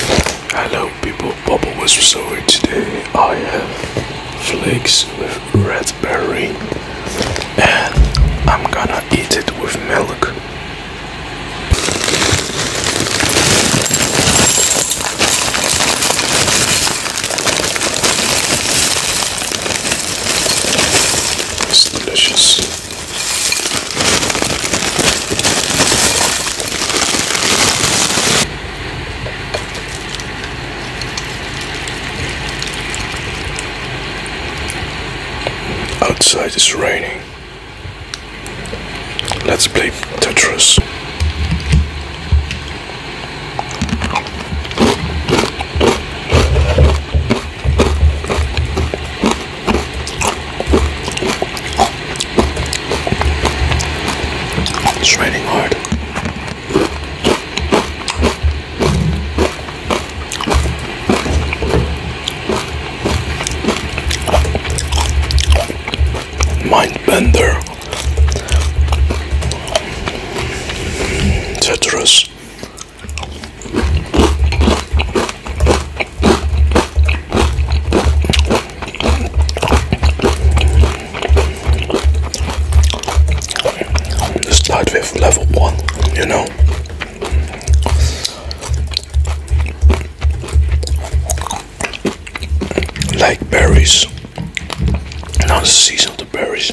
Hello people, Bubble was restoring today. I have flakes with red and I'm gonna eat it with milk. It's delicious. Outside is raining. Let's play Tetris. It's raining hard. Mindbender. Tetris. Start with level one, you know. Like berries. and Now the season of the berries.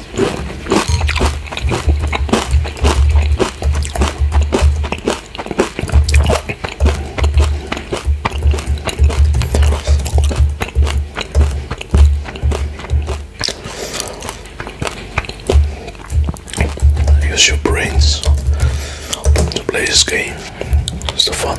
Use your brains to play this game. It's the fun.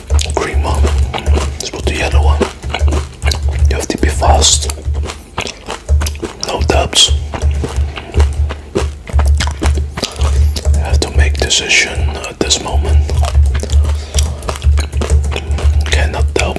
green one, let's put the yellow one. You have to be fast, no doubts. You have to make decision at this moment. Cannot doubt.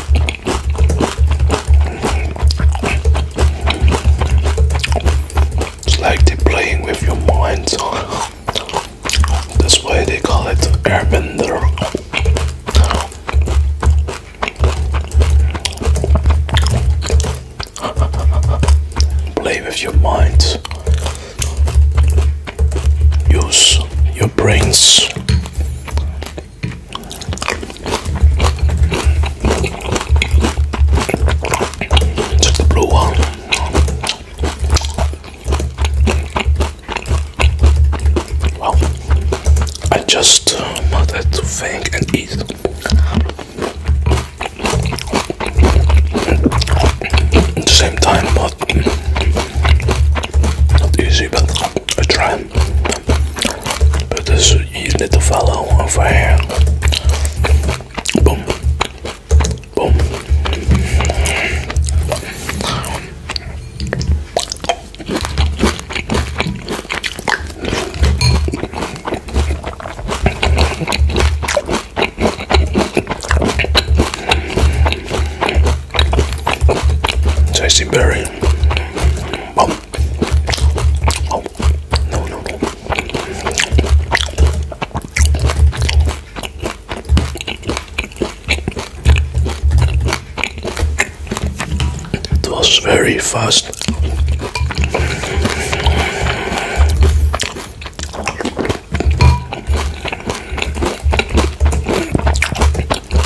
It's like they're playing with your mind. That's why they call it airbender. Play with your mind. Use your brains. Just the blue one. Well, I just uh, wanted to think and eat. At the same time, but not easy, but I try, but this you need to follow over here. Boom, boom. Tasty berry. Oh. oh. no, no. It was very fast.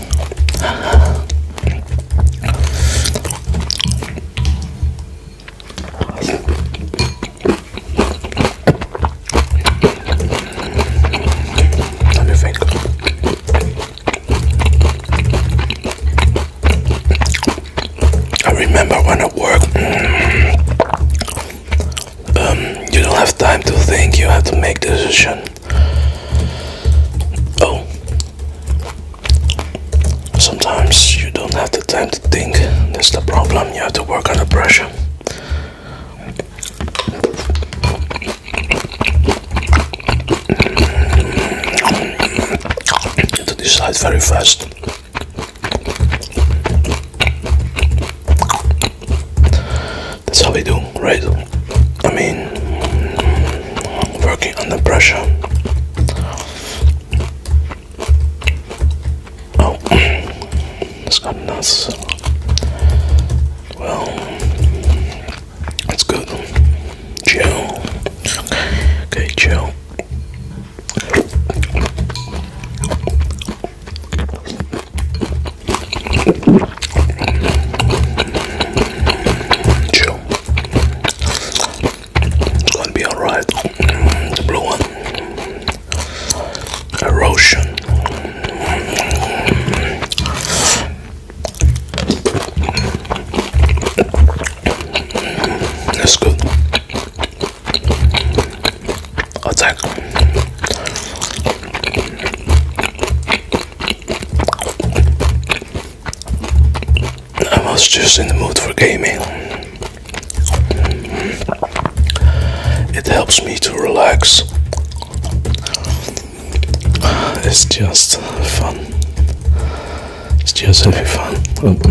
Let me think. I remember when I worked. Mm, um, you don't have time to think. You have to make decision. Oh, Sometimes you don't have the time to think, that's the problem. You have to work under pressure. To decide very fast. That's how we do, right? I mean, working under pressure. Oh, it's got nuts. Well, that's good. Chill. Okay, chill. Chill. It's gonna be alright. The blue one. Erosion. That's good. Attack. I was just in the mood for gaming. It helps me to relax. It's just fun. It's just having fun.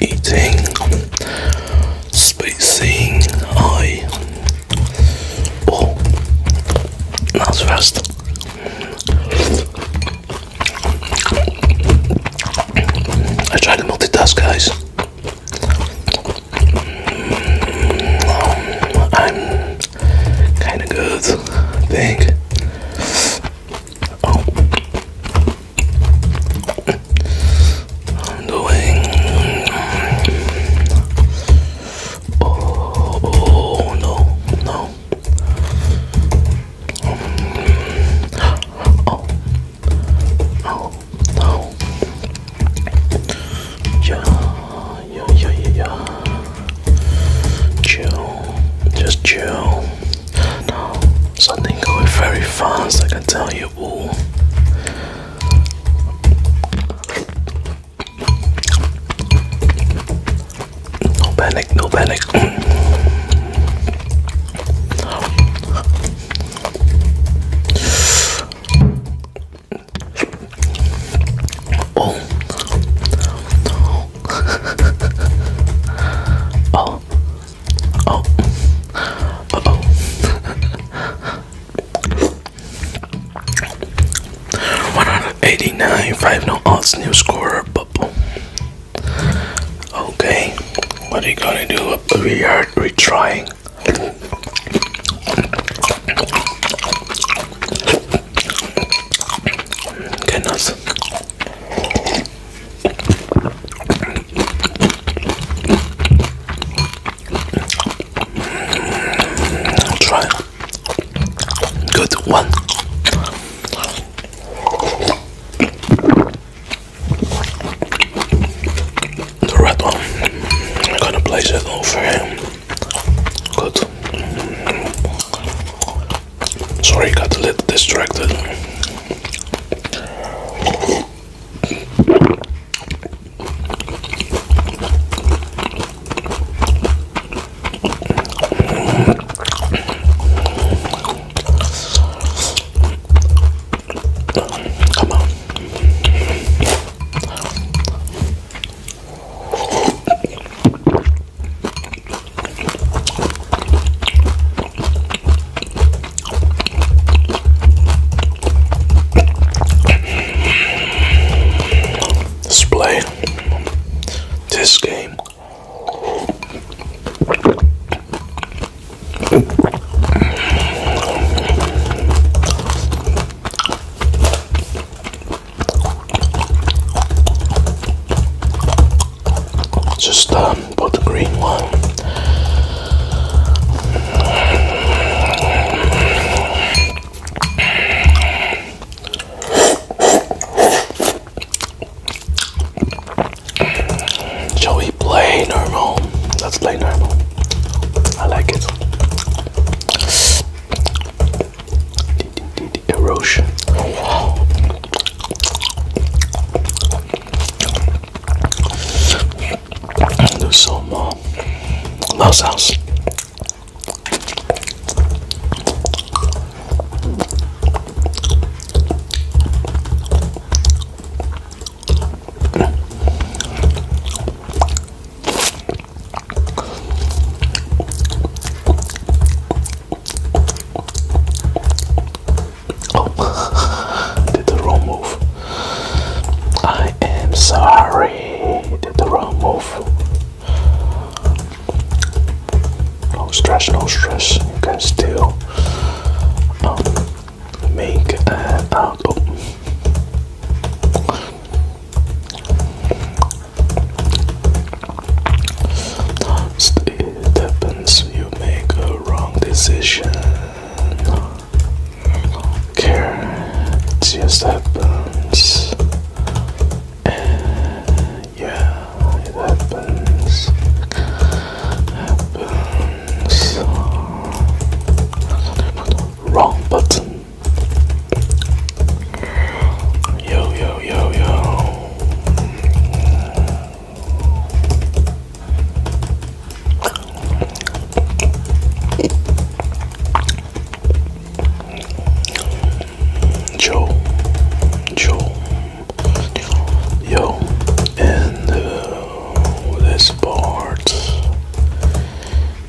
eating, spacing, I. Oh, that's fast. I tried the multitask, guys. I'm kind of good, think. Oh. I'm doing oh, no no oh oh no yeah yeah yeah yeah yeah chill just chill no, something going very fast, I can tell you. Ooh. No panic, no panic. oh. oh. Oh. Uh oh. 189, 5 no odds, new scorer, bubble. Okay, what are you gonna do? We are retrying. Goodness. I'll try. Good one. The red one. I'm gonna place it over him. Good. Sorry, got a little distracted. Come on. Let's play this game. Just put um, the green one. Shall we play normal? Let's play normal. I like it erosion. Do some more mouse Oh, did the wrong move. I am sorry. Did the wrong move. No stress, no stress. You can still um, make an out. It happens you make a wrong decision. care, it just happens. yeah, it happens. Happens. Wrong button. Yo yo yo yo. Joe, Joe, yo, and uh, this part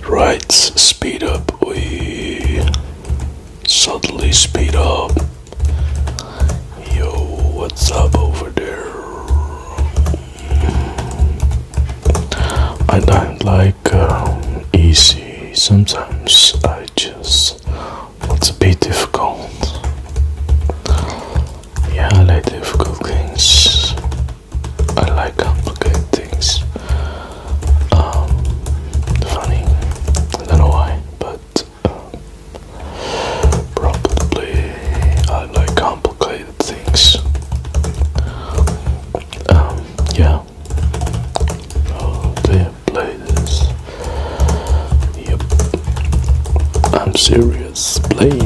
writes speed up. We suddenly speed up. Yo, what's up over there? I don't like um, easy. Sometimes I just want to be difficult. Yeah, I like difficult things. I like complicated things. Um, funny. I don't know why, but Probably I like complicated things. Um, yeah. Oh, they play this. Yep. I'm serious playing.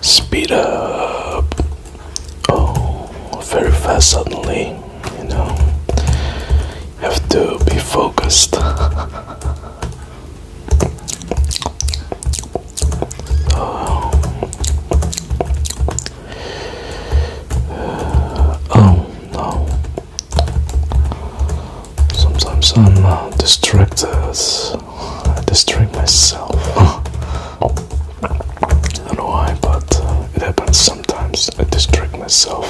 speed up oh very fast suddenly you know have to be focused oh. oh no Sometimes I'm uh, distracted. I distract myself. I don't know why, but uh, it happens sometimes. I distract myself.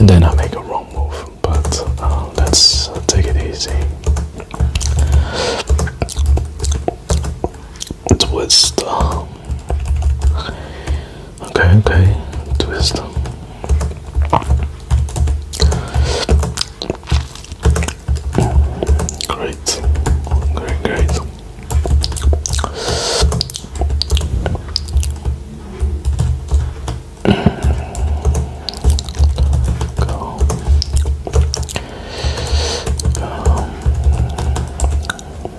And then I make a wrong move, but uh, let's take it easy. Twist. Uh, Okay, okay. Twist. Great. Great, great. Go. Go.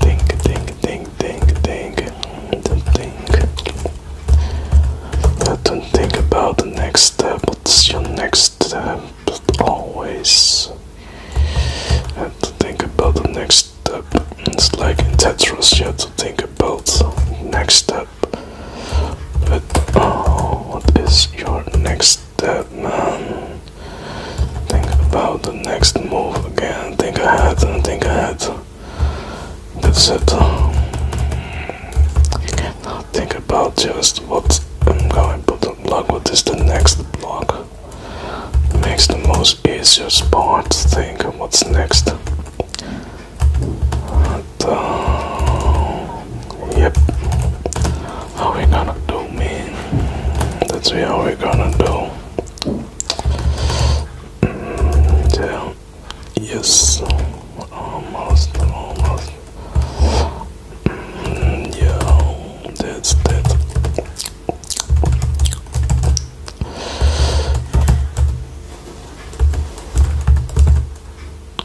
Think, think, think, think, think, think. Don't think about the next step. What's your next step? Always And think about the next step. It's like in Tetris, you have to think about next step. But oh, what is your next that man. Think about the next move again. Think ahead and think ahead. That's it. You think about just what I'm going to unlock. What is the next block? Makes the most easiest part. Think what's next. And uh, yep, how we gonna do, man? That's how we gonna do. Mm, yeah. Yes, almost, almost. Mm, yeah, that's that.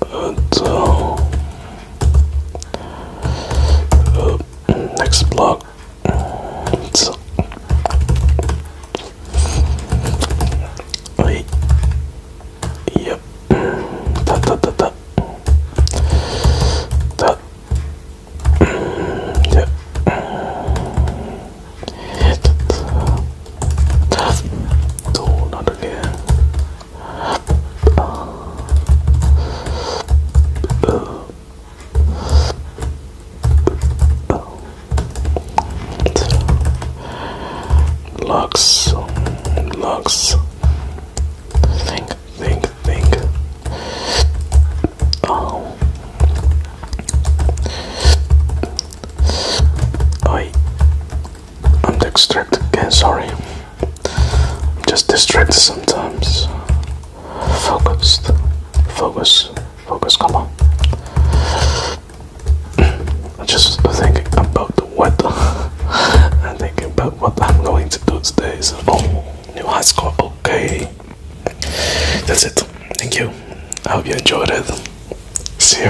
But uh, uh, next block. So, uh, I, yep. Da da da da. Da. Yep. Yeah. No, not again. Uh, Lux, Think, think, think. Oh, I'm distracted again, sorry. I'm just distracted sometimes. Focused. Focus. Focus, come on. I'm just thinking about the weather. I'm thinking about what I'm going to do today. oh, new high score. Okay. That's it. Thank you. I hope you enjoyed it. See you.